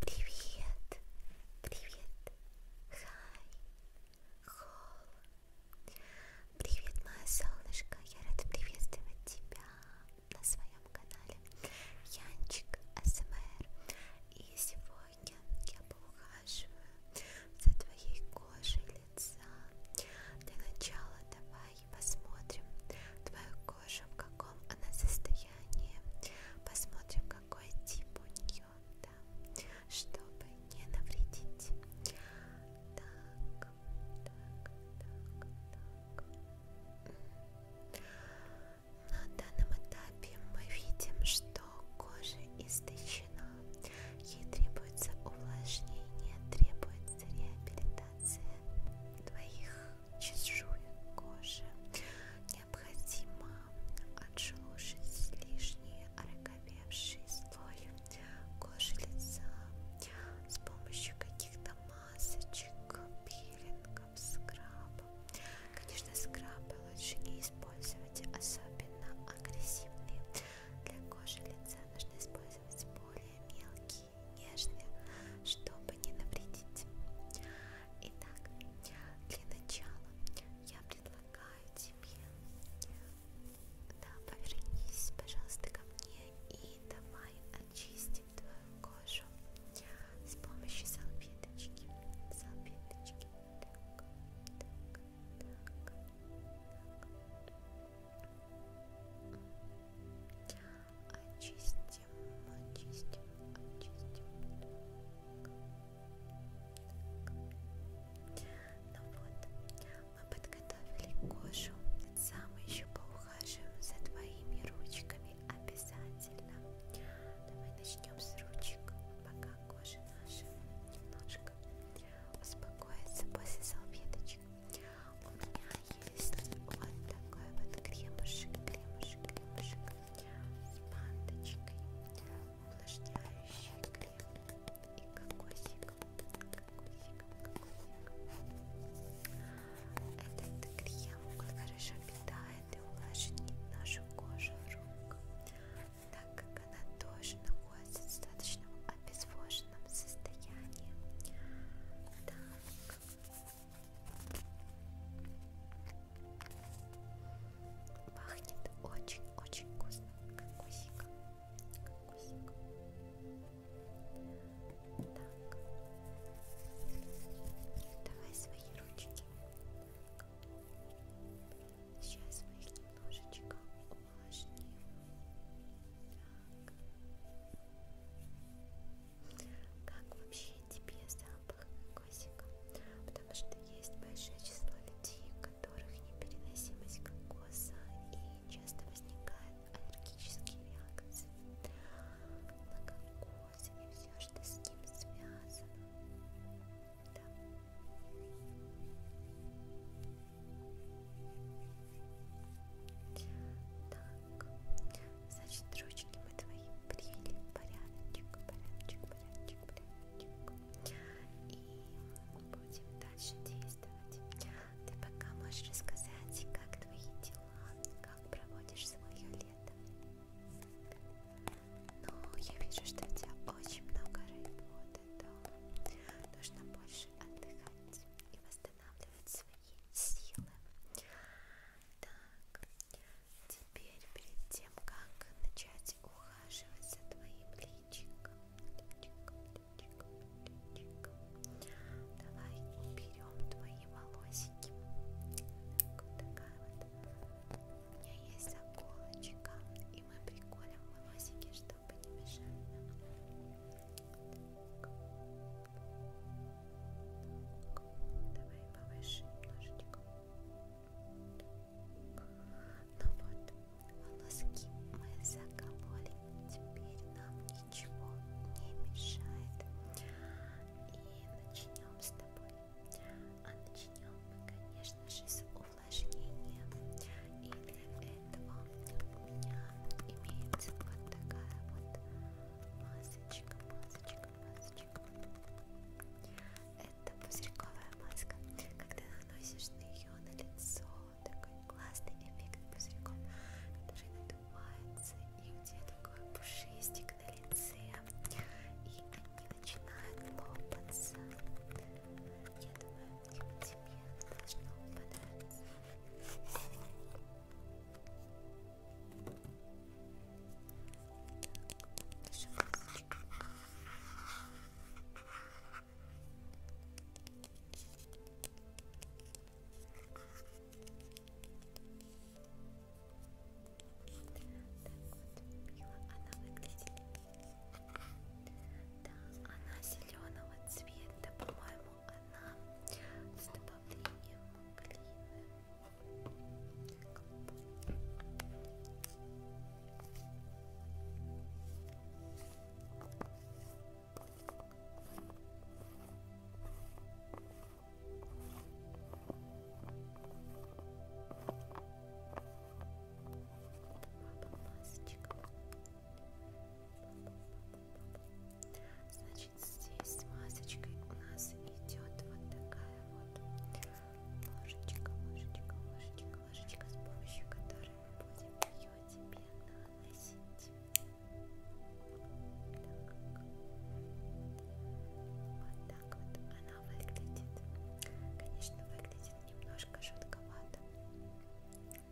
Привет, привет, хай, хол. Привет, моя солнышко, я рада приветствовать тебя на своем канале Янчик АСМР. Эм И сегодня я поухаживаю за твоей кожей лица. Для начала давай посмотрим твою кожу, в каком она состоянии, посмотрим, какой тип у нее, да, чтобы не навредить. Так, так, так, так. На данном этапе мы видим, что кожа истощена, ей требуется увлажнение, требуется реабилитация твоих чешуек кожи, Необходимо отшелушить лишний ороговевший слой кожи лица с помощью каких-то масочек, пилингов, скраба. Конечно, скрабы лучше не использовать, особенно агрессивные. Для кожи лица нужно использовать более мелкие, нежные, чтобы не навредить. Итак, для начала я предлагаю тебе, да, повернись, пожалуйста, ко мне и давай очистим твою кожу с помощью салфеточки. Салфеточки. Так, так, так, так. Очистим очистим, очистим, очистим. Ну вот, мы подготовили кожу, лица мы еще поухаживаем за твоими ручками обязательно. Давай начнем с ручек, пока кожа наша немножко успокоится после салфеточек. У меня есть вот такой вот кремушек, кремушек, кремушек с манточкой, увлажняющий крем и кокосиком, кокосиком, кокосиком. Этот крем он хорошо питает и увлажнит нашу кожу рук, так как она тоже находится в достаточно обезвоженном состоянии. Так. Пахнет очень-очень вкусно, как кусик. Как кусик. Так. Давай свои ручки. Так. Сейчас мы их немножечко увлажним. Так как вообще тебе запах кокосика, потому что есть большое число людей, у которых непереносимость кокоса и часто возникают аллергические реакции на кокос и все, что с ним связано. Да. Так, Значит, ручки мы твои приняли порядочек, порядочек, порядочек, порядочек. И будем дальше действовать. Ты пока можешь рассказать, как твои дела, как проводишь свое лето. Но я вижу, что у тебя очень много работы, да. Нужно больше отдыхать и восстанавливать свои силы. Так, теперь перед тем, как начать ухаживать за твоим личиком, личиком, личиком, личиком давай уберем твои волосики. Так, вот такая вот. У меня есть заколочка, и мы приколем волосики, чтобы не мешали нам. Давай повыше немножечко. Ну вот, волоски мы закололи, теперь нам ничего не мешает. И начнем с тобой. А начнем мы, конечно же, с увлажнения. И для этого у меня имеется вот такая вот масочка, масочка, масочка. Это пузырьковая маска. Когда наносишь ее на лицо, такой классный эффект пузырьком, который надувается, и у тебя такой пушистик на лице, и они начинают лопаться. Я думаю, тебе должно понравиться. Да, она зеленого цвета, по-моему, она с добавлением клина. Значит, здесь с масочкой у нас идет вот такая вот ложечка, ложечка, ложечка, ложечка, с помощью которой мы будем ее тебе наносить. Вот так вот она выглядит. Конечно, выглядит немножко жутковато,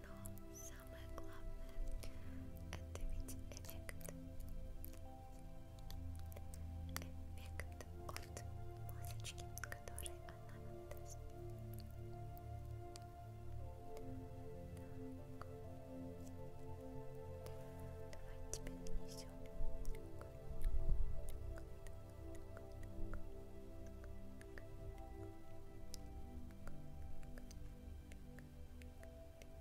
но самое главное это ведь эффект эффект от масочки, который она нам даст. Так. Давай тебе нанесем. Так,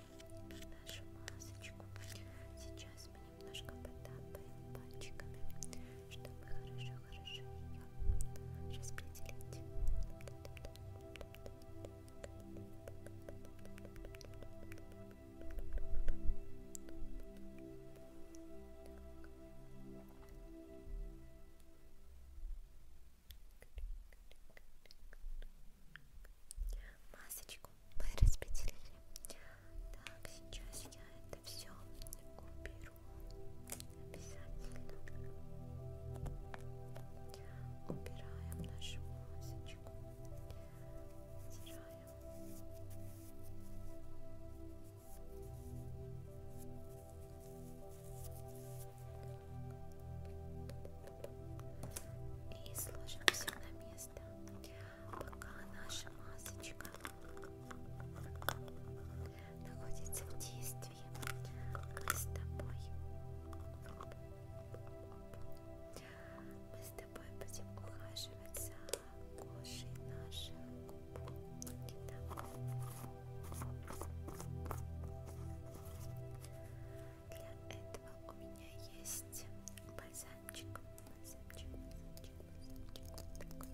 на нашу масочку. Сейчас мы немножко потапаем пальчиками, чтобы хорошо-хорошо ее распределить. Так. Масочку мы распределили. Так, сейчас я это все уберу. Обязательно. Убираем нашу масочку. Стираем. Так, и сложим все на место, пока наша масочка находится в действии. Мы с тобой, мы с тобой будем ухаживать за кожей наших губ. Да. Для этого у меня есть бальзамчик. Бальзамчик, бальзамчик, бальзамчик.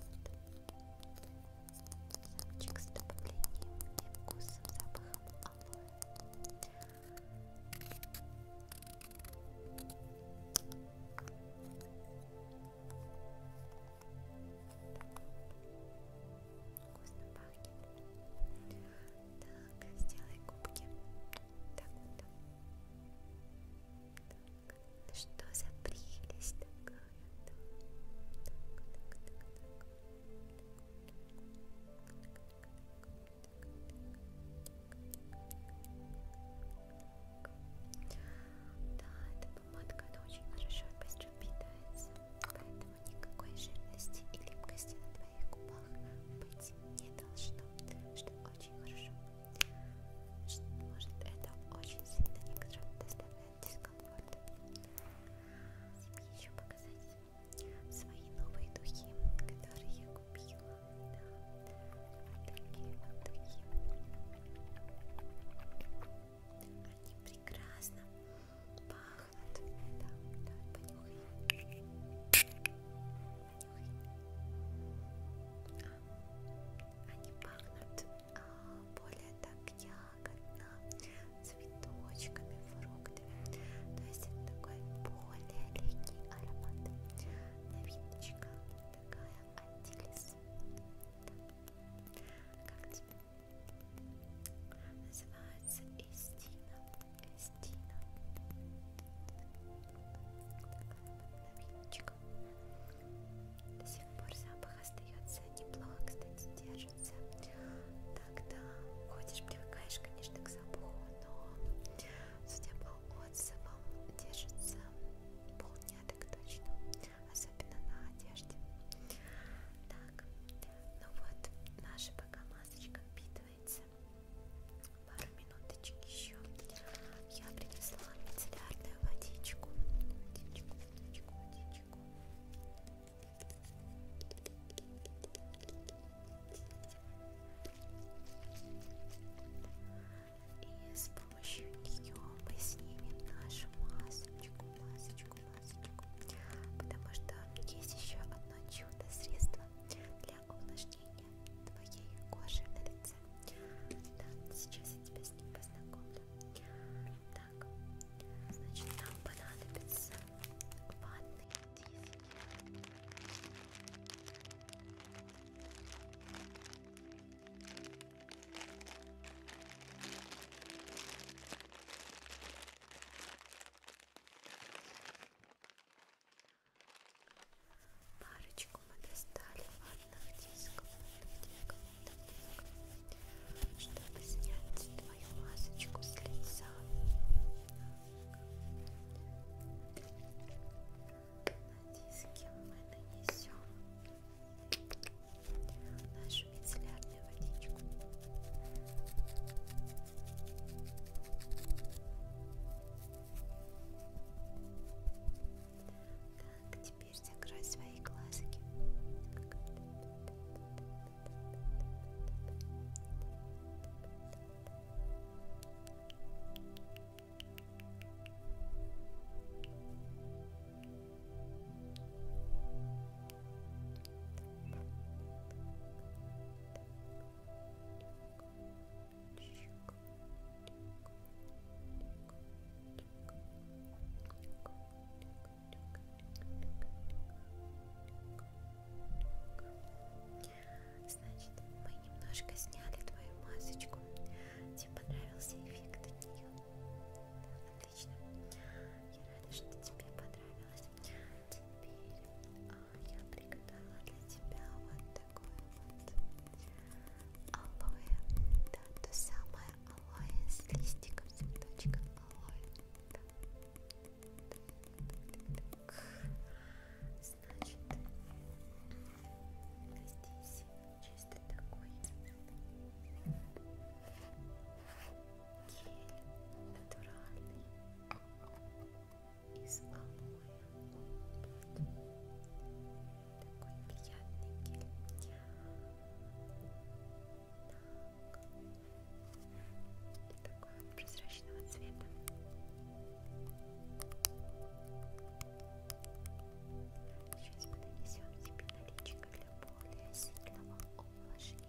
Бальзамчик с добавлением и вкусом, запахом алоэ. Итак, Вкусно пахнет. Так, сделай губки. Так вот. Так. Что за прелесть такая? Так, так, так, так, так. Да, эта помадка она очень хорошо и быстро питается, поэтому поэтому никакой жирности и липкости на твоих губах быть не должно, что очень хорошо. Что, может, это очень сильно некоторым доставляет дискомфорт. Тебе еще показать свои новые духи, которые я купила. Да, такие вот духи. Они прекрасно Пахнет. Да, давай понюхай. Понюхай. А, они пахнут а, более так ягодно, цветочками, фруктами. То есть это такой более легкий аромат. Новиночка такая Атилис. Как тебе? Называется Истина. Кристина. Новиночка. До сих пор запах остается неплохо, кстати, держится. Так, да, ходишь, привыкаешь, конечно, к запаху, но судя по отзывам, держится полдня так точно, особенно на одежде. Так, ну вот, наша пока масочка вид складывается. Пару минуточек еще. Я принесла мицеллярную водичку. Водичку, водичку, водичку. И с помощью нее мы снимем нашу масочку, масочку, масочку. Потому что есть еще одно чудо средство средства для увлажнения твоей кожи на лице. Да, сейчас я тебя с ним познакомлю. Так, значит, нам понадобится ванны диски. Парочку мы достали ватных дисков, ватных дисков, ватных дисков, чтобы снять твою масочку с лица. На диске мы нанесем нашу мицеллярную водичку. Так, теперь закрой свои глазки. Так, Значит, мы немножко сняли твою масочку. Тебе понравился эффект от нее? Отлично. Я рада, что тебе понравилось теперь а, я приготовила для тебя вот такое вот алоэ. Да, то самое алоэ с листиком, с цветочком алоэ. Да. Так, так, так. Значит, здесь чисто такой гель натуральный из алоэ такой приятный гель так. такой прозрачного цвета сейчас мы нанесем себе наличие для более сильного увлажнения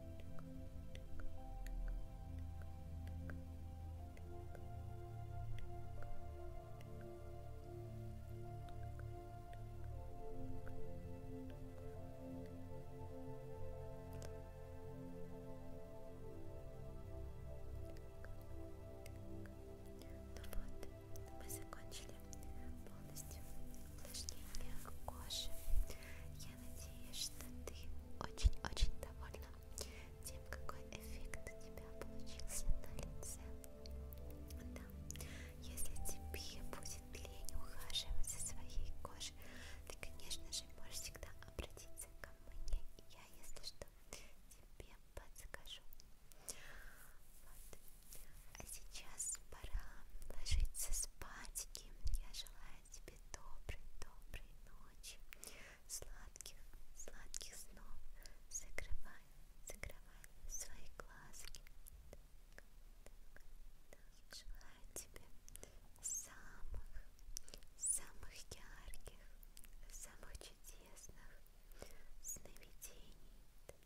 Ну вот, мы закончили полностью упражнение кожи. Я надеюсь, что ты очень-очень довольна тем, какой эффект у тебя получился на лице. Да, если тебе будет лень ухаживать за своей кожей, ты, конечно же, можешь всегда обратиться ко мне, и я, если что, тебе подскажу. Вот. А сейчас пора ложиться спать, и я желаю желаю тебе доброй, доброй ночи, сладких, сладких снов. Закрывай, закрывай свои глазки. Так, так, так. Желаю тебе самых, самых ярких, самых чудесных сновидений.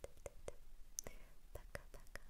Пока-пока, пока-пока.